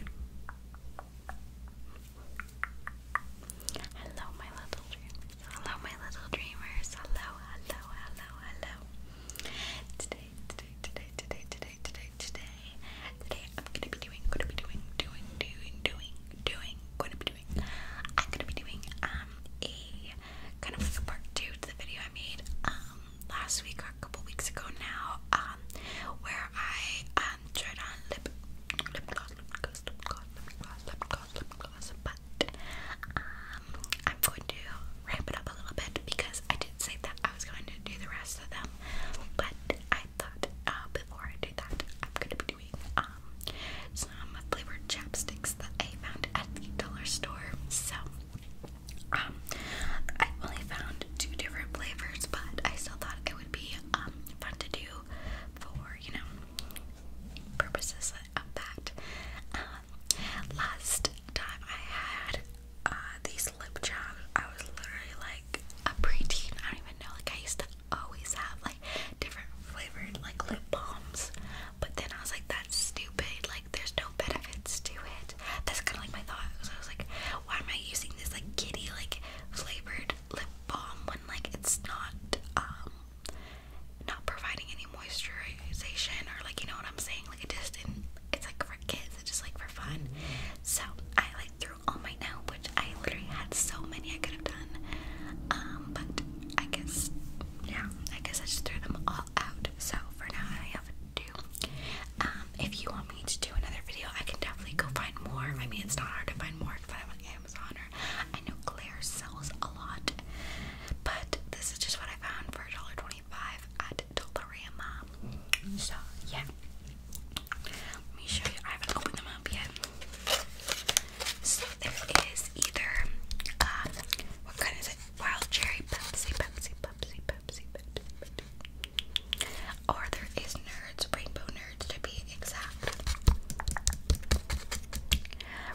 Hello, my little dreamers. Hello, my little dreamers. Hello, hello, hello, hello. Today, today, today, today, today, today, today, today, I'm gonna be doing, gonna be doing, doing, doing, doing, doing, gonna be doing. I'm gonna be doing um a kind of like a part two to the video I made um last week or a couple weeks ago now um where I uh, and on lip lip gloss, lip gloss, lip gloss, lip gloss, lip gloss, lip gloss, but um, I'm going to ramp it up a little bit because I did say that I was going to do the rest of them, but I thought uh, before I do that, I'm going to be doing um some flavored chapsticks that I found at the dollar store. So um, I only found two different flavors, but I still thought it was be um, fun to do for, you know, purposes of that. Uh, last time I had uh, these lip jobs, I was literally like a preteen. I don't even know. Like, I used to always have like different flavored like lip balms, but then I was like, that's stupid. Like, there's no benefits to it. That's kind of like my thought. So I was like, why am I using this like kitty like flavored lip balm when like it's not um not providing any moisturization or like you know what I'm saying? Like it just it's like for kids, it's just like for fun. So I like threw all my now which I literally had so many I could have done. Um, but I guess yeah, I guess I just threw them all out. So for now I have two. Um, if you want me to do another video, I can definitely go find more. I mean, it's not hard to find more if I'm on Amazon or I know Claire sells a lot, but this is just what I found for twenty-five at Dollarama. So, yeah. Let me show you. I haven't opened them up yet. So, there is either, uh, what kind is it? Wild Cherry Pepsi, Pepsi, Pepsi, Pepsi, Pepsi, Pepsi. Or there is Nerds, Rainbow Nerds to be exact.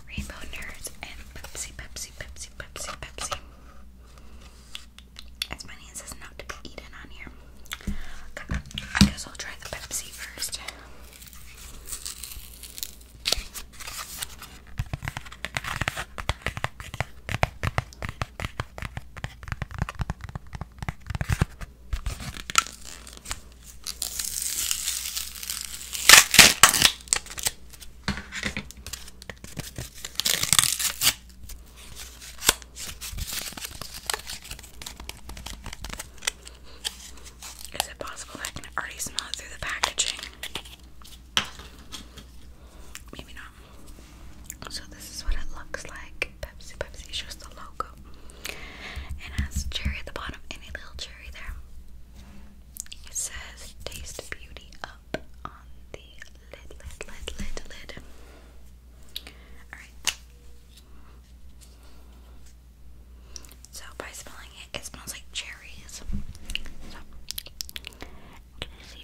Rainbow Nerds and Pepsi, Pepsi, Pepsi, Pepsi, Pepsi. As many as is not to eaten on here. I guess I'll try the Pepsi first. Is it possible I can already smell it through the packaging? Maybe not. So this is what it looks like. Pepsi, Pepsi is just the logo. It has cherry at the bottom and a little cherry there. It says taste beauty up on the lid, lid, lid, lid, lid. Alright. So by smelling it, it smells like cherries. So can you see?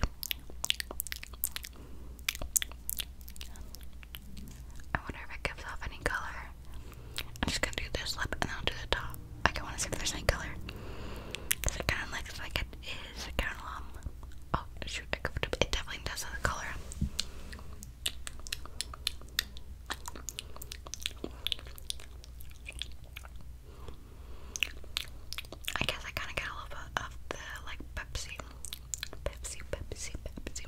I wonder if it gives off any color. I'm just gonna do this lip and then I'll do the top. Like I wanna see if there's any color. Cause it kinda like it is Oh shoot, I covered up. It definitely does have the color. I guess I kinda get a little bit of the like Pepsi Pepsi, Pepsi, Pepsi.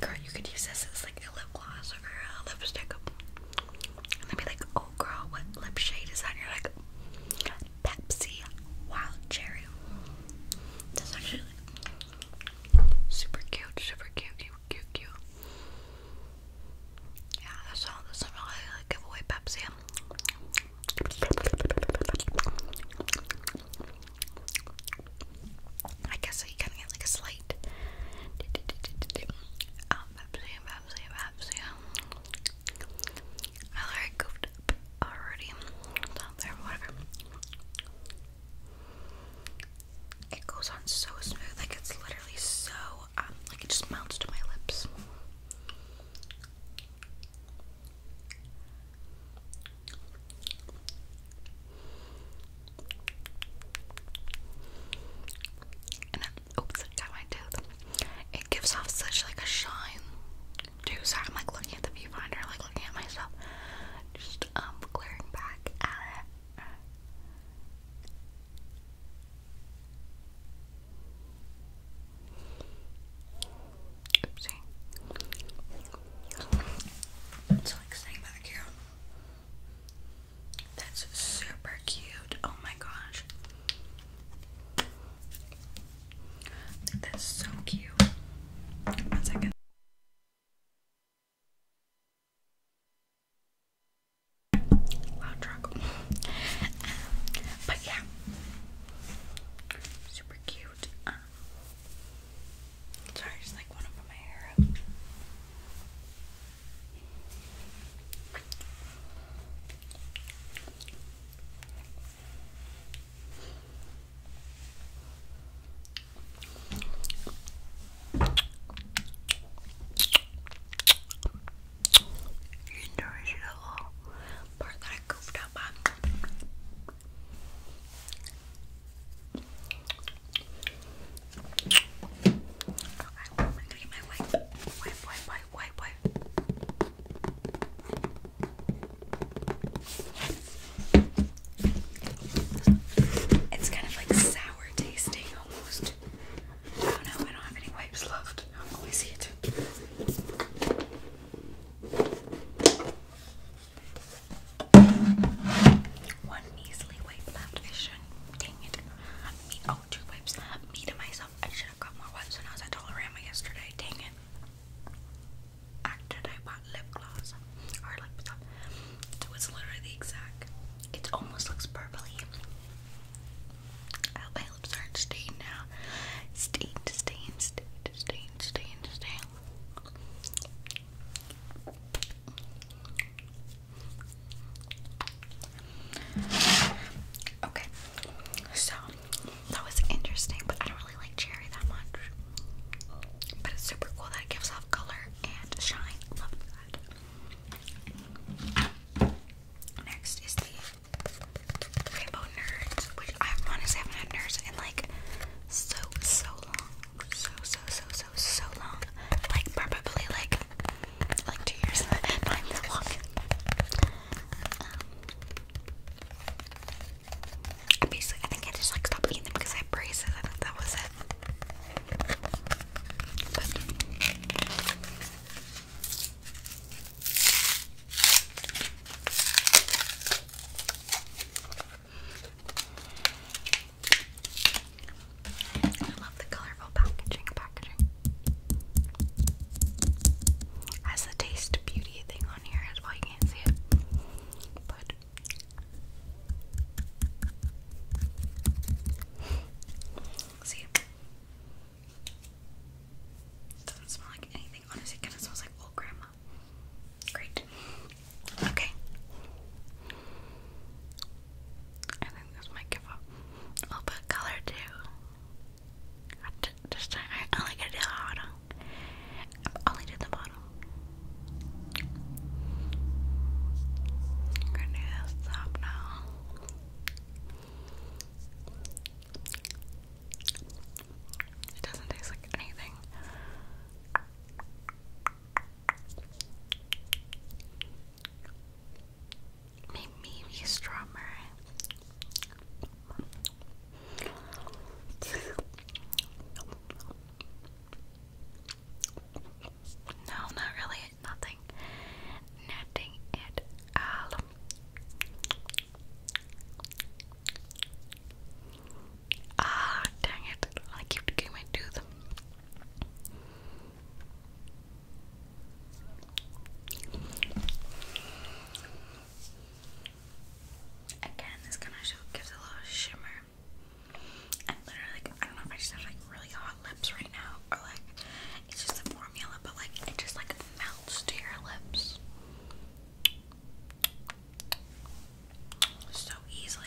Girl, you could use this as like a lip gloss or a lipstick. And they'd be like, oh girl, what lip shade is that? you're like, Pepsi Wild Cherry. That's actually like, super cute, super cute cute, cute. Yeah, that's all. That's not really like give away Pepsi. I guess you kind of get like a slate. Um, Pepsi, Pepsi, Pepsi. I already whatever. It goes on so smooth, like it's literally so um, like it just melts to my lips. And oops, I got my tooth. It gives off such like a shine. Too sorry, I'm like looking at the viewfinder, like looking at myself, just um, glaring back at it. It's like staying back here. That's super cute. Oh my gosh. That's so cute. One second. Loud truck. Um, but yeah. Super cute. Um, sorry, just like want to my hair you nourish the whole part that I goofed up i Wipe, wipe, wipe, wipe, wipe. It's kind of like sour tasting almost. Oh no, I don't have any wipes left. I'm always here too. One measly wipe left. Dang it. oh, two wipes. Me to myself. I should have got more wipes when I was at Dollarama yesterday. Dang it. After I bought lip gloss or lip stuff. It was literally exact. It almost looks purpley. I hope my lips aren't stained now. Stained, stained, stained, stained, stained, stained. Okay, so that was interesting, but I don't really like cherry that much. But it's super cool that it gives off color and shine. Love that. Next is the Rainbow Nerds, which I honestly haven't had nerds in like so so long. So so so so so long. Like probably like like two years. Not even that I basically I think I just like stopped eating them because I had braces. I thought that was it. I love the colorful packaging. Packaging has the taste beauty thing on here as well. You can't see it, but See? Doesn't smell like anything. Honestly, kind of smells like old grandma. Great. Okay. I think this might give up a little bit color too. just, this I only did the bottom. I only did the bottom. Gonna stop now. It doesn't taste like anything. Maybe strawberry. No, not really it, nothing, nothing at all. Ah, dang it! I keep getting my tooth. Again, this kind of gives a little shimmer i literally I don't know if I just have like really hot lips right now, or like it's just a formula, but like it just like melts to your lips so easily.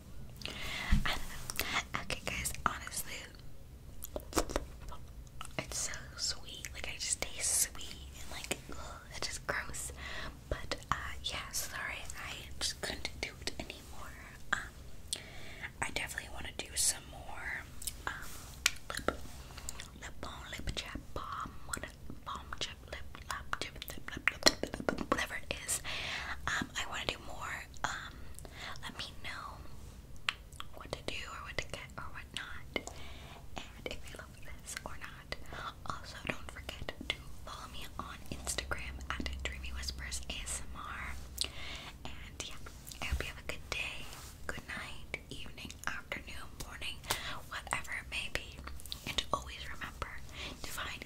Okay, guys, honestly, it's so sweet. Like, I just taste sweet and, like, ugh, it's just gross. But, uh, yeah, sorry, I just couldn't do it anymore. Um, I definitely want to do some more, um, lip, lip balm, lip chat, bomb, what, bomb chat whatever it is. Um, I want to do more. Um, let me know what to do or what to get or what not, and if you love this or not. Also, don't forget to follow me on Instagram at Dreamy And yeah, I hope you have a good day, good night, evening, afternoon, morning, whatever it may be. And always remember to find a